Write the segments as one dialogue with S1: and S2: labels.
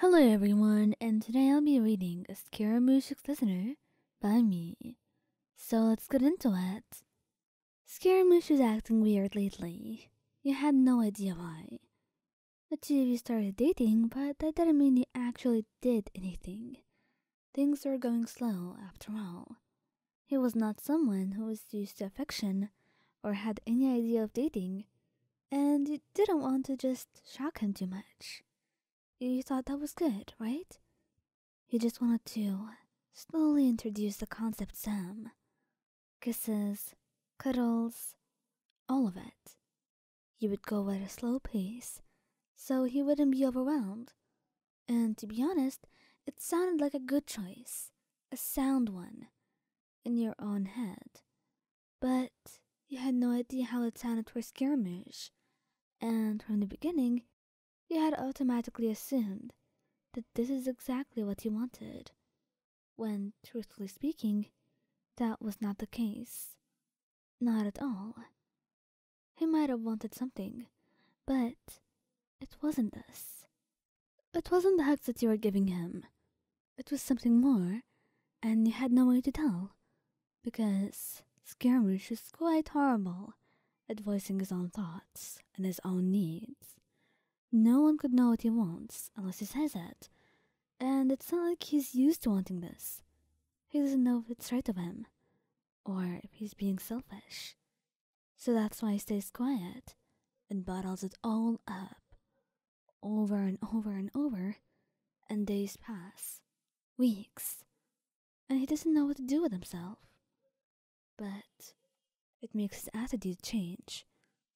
S1: Hello everyone, and today I'll be reading Scaramouche's Listener by me. So let's get into it. Scaramouche was acting weird lately. You had no idea why. The two of you started dating, but that didn't mean he actually did anything. Things were going slow, after all. He was not someone who was used to affection or had any idea of dating, and you didn't want to just shock him too much. You thought that was good, right? You just wanted to slowly introduce the concept Sam. Kisses, cuddles, all of it. You would go at a slow pace, so he wouldn't be overwhelmed. And to be honest, it sounded like a good choice, a sound one in your own head. But you had no idea how it sounded for skirmish, and from the beginning, you had automatically assumed that this is exactly what he wanted, when, truthfully speaking, that was not the case. Not at all. He might have wanted something, but it wasn't this. It wasn't the hugs that you were giving him it was something more, and he had no way to tell. Because Scaramouche is quite horrible at voicing his own thoughts and his own needs. No one could know what he wants unless he says it, and it's not like he's used to wanting this. He doesn't know if it's right of him, or if he's being selfish. So that's why he stays quiet and bottles it all up over and over and over, and days pass, weeks, and he doesn't know what to do with himself. But it makes his attitude change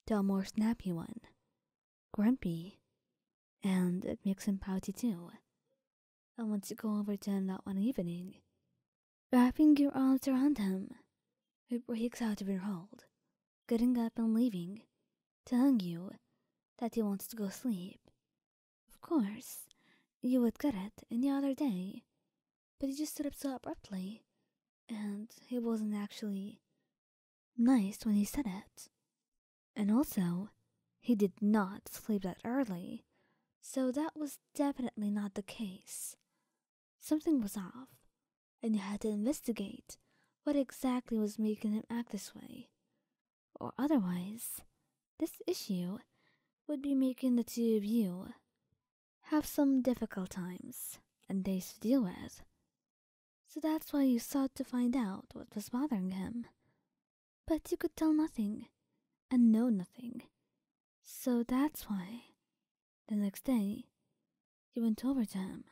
S1: to a more snappy one, grumpy, and it makes him pouty too. I want to go over to him that one evening, wrapping your arms around him. He breaks out of your hold getting up and leaving, tell you that he wants to go sleep. Of course, you would get it in the other day, but he just stood up so abruptly, and he wasn't actually nice when he said it. And also, he did not sleep that early, so that was definitely not the case. Something was off, and you had to investigate what exactly was making him act this way. Or otherwise, this issue would be making the two of you have some difficult times and days to deal with. So that's why you sought to find out what was bothering him. But you could tell nothing and know nothing. So that's why the next day you went over to him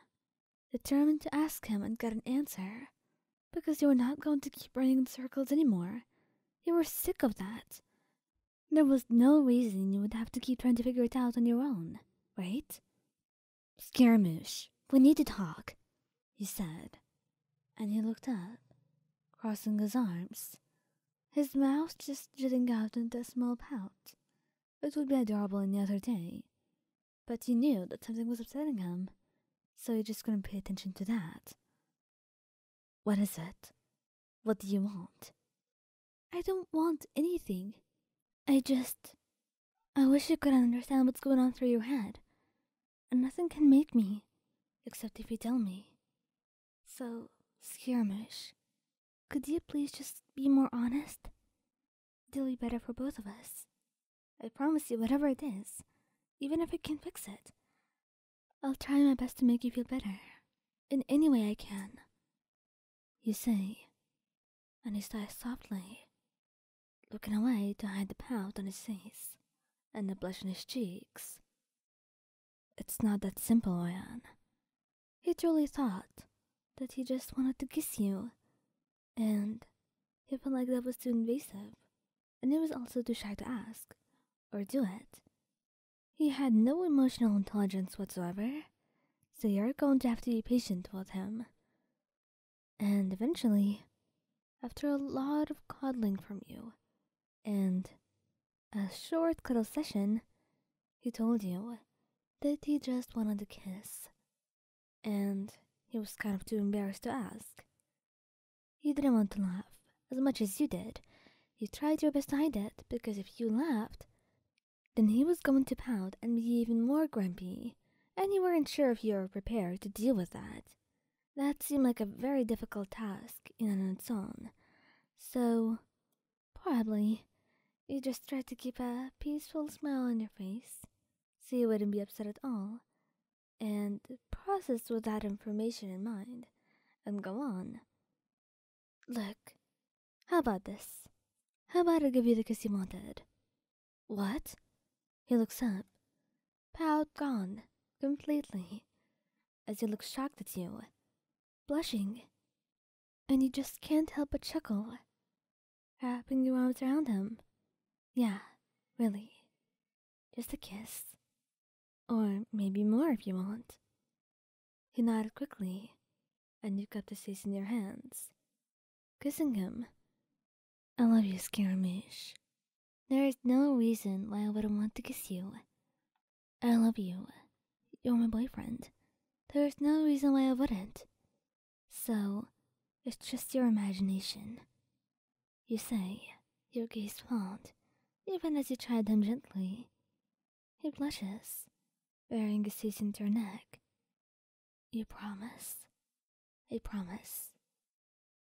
S1: determined to ask him and get an answer, because you were not going to keep running in circles any more. You were sick of that. There was no reason you would have to keep trying to figure it out on your own, right? Scaramouche, we need to talk, he said, and he looked up, crossing his arms, his mouth just jutting out into a small pout. It would be adorable any other day, but you knew that something was upsetting him, so he just couldn't pay attention to that. What is it? What do you want? I don't want anything. I just. I wish you could understand what's going on through your head. And nothing can make me, except if you tell me. So, Skirmish, could you please just be more honest? It'll be better for both of us. I promise you, whatever it is, even if I can fix it, I'll try my best to make you feel better in any way I can. You say, and he sighed softly, looking away to hide the pout on his face and the blush on his cheeks. It's not that simple, Oyan. He truly thought that he just wanted to kiss you and he felt like that was too invasive, and he was also too shy to ask or do it. He had no emotional intelligence whatsoever, so you're going to have to be patient with him. And eventually, after a lot of coddling from you, and a short cuddle session, he told you that he just wanted a kiss and he was kind of too embarrassed to ask. You didn't want to laugh as much as you did. You tried your best to hide it because if you laughed, then he was going to pout and be even more grumpy, and you weren't sure if you were prepared to deal with that. That seemed like a very difficult task in and of its own. So, probably, you just tried to keep a peaceful smile on your face so you wouldn't be upset at all, and process with that information in mind, and go on. Look, how about this? How about I give you the kiss you wanted? What? He looks up. Pout gone, completely, as he looks shocked at you, blushing, and you just can't help but chuckle. Wrapping your arms around him. Yeah, really. Just a kiss. Or maybe more if you want. He nodded quickly, and you cupped his face in your hands, kissing him. I love you, Skarmish. There is no reason why I wouldn't want to kiss you. I love you. You're my boyfriend. There is no reason why I wouldn't. So, it's just your imagination. You say, your gaze won't, even as you try them gently. He blushes, burying his teeth into your neck. You promise. I promise.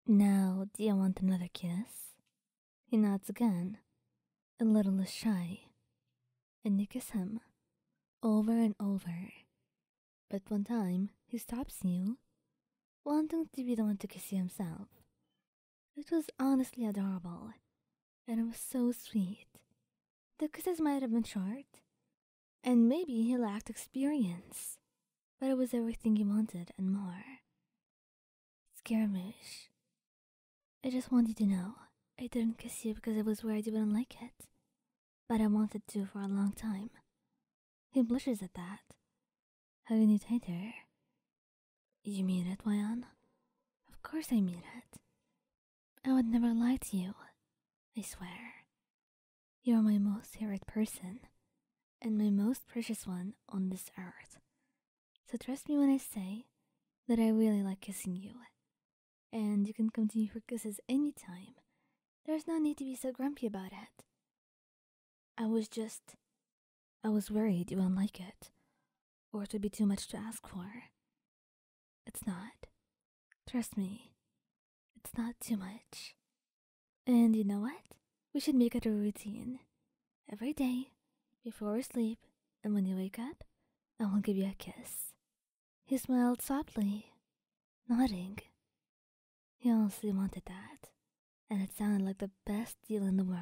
S1: Now, do you want another kiss? He nods again, a little less shy. And you kiss him, over and over, but one time, he stops you, wanting to be the one to kiss you himself. It was honestly adorable, and it was so sweet. The kisses might have been short, and maybe he lacked experience, but it was everything he wanted and more. Scaramouche. I just wanted to know I didn't kiss you because I was worried you wouldn't like it but I wanted to for a long time. He blushes at that. How you need her? You mean it, Wayan? Of course I mean it. I would never lie to you. I swear. You are my most favorite person, and my most precious one on this earth. So trust me when I say that I really like kissing you. And you can come continue your kisses any time. There's no need to be so grumpy about it. I was just. I was worried you wouldn't like it, or it would be too much to ask for. It's not. Trust me, it's not too much. And you know what? We should make it a routine. Every day, before we sleep, and when you wake up, I will give you a kiss. He smiled softly, nodding. He honestly wanted that, and it sounded like the best deal in the world.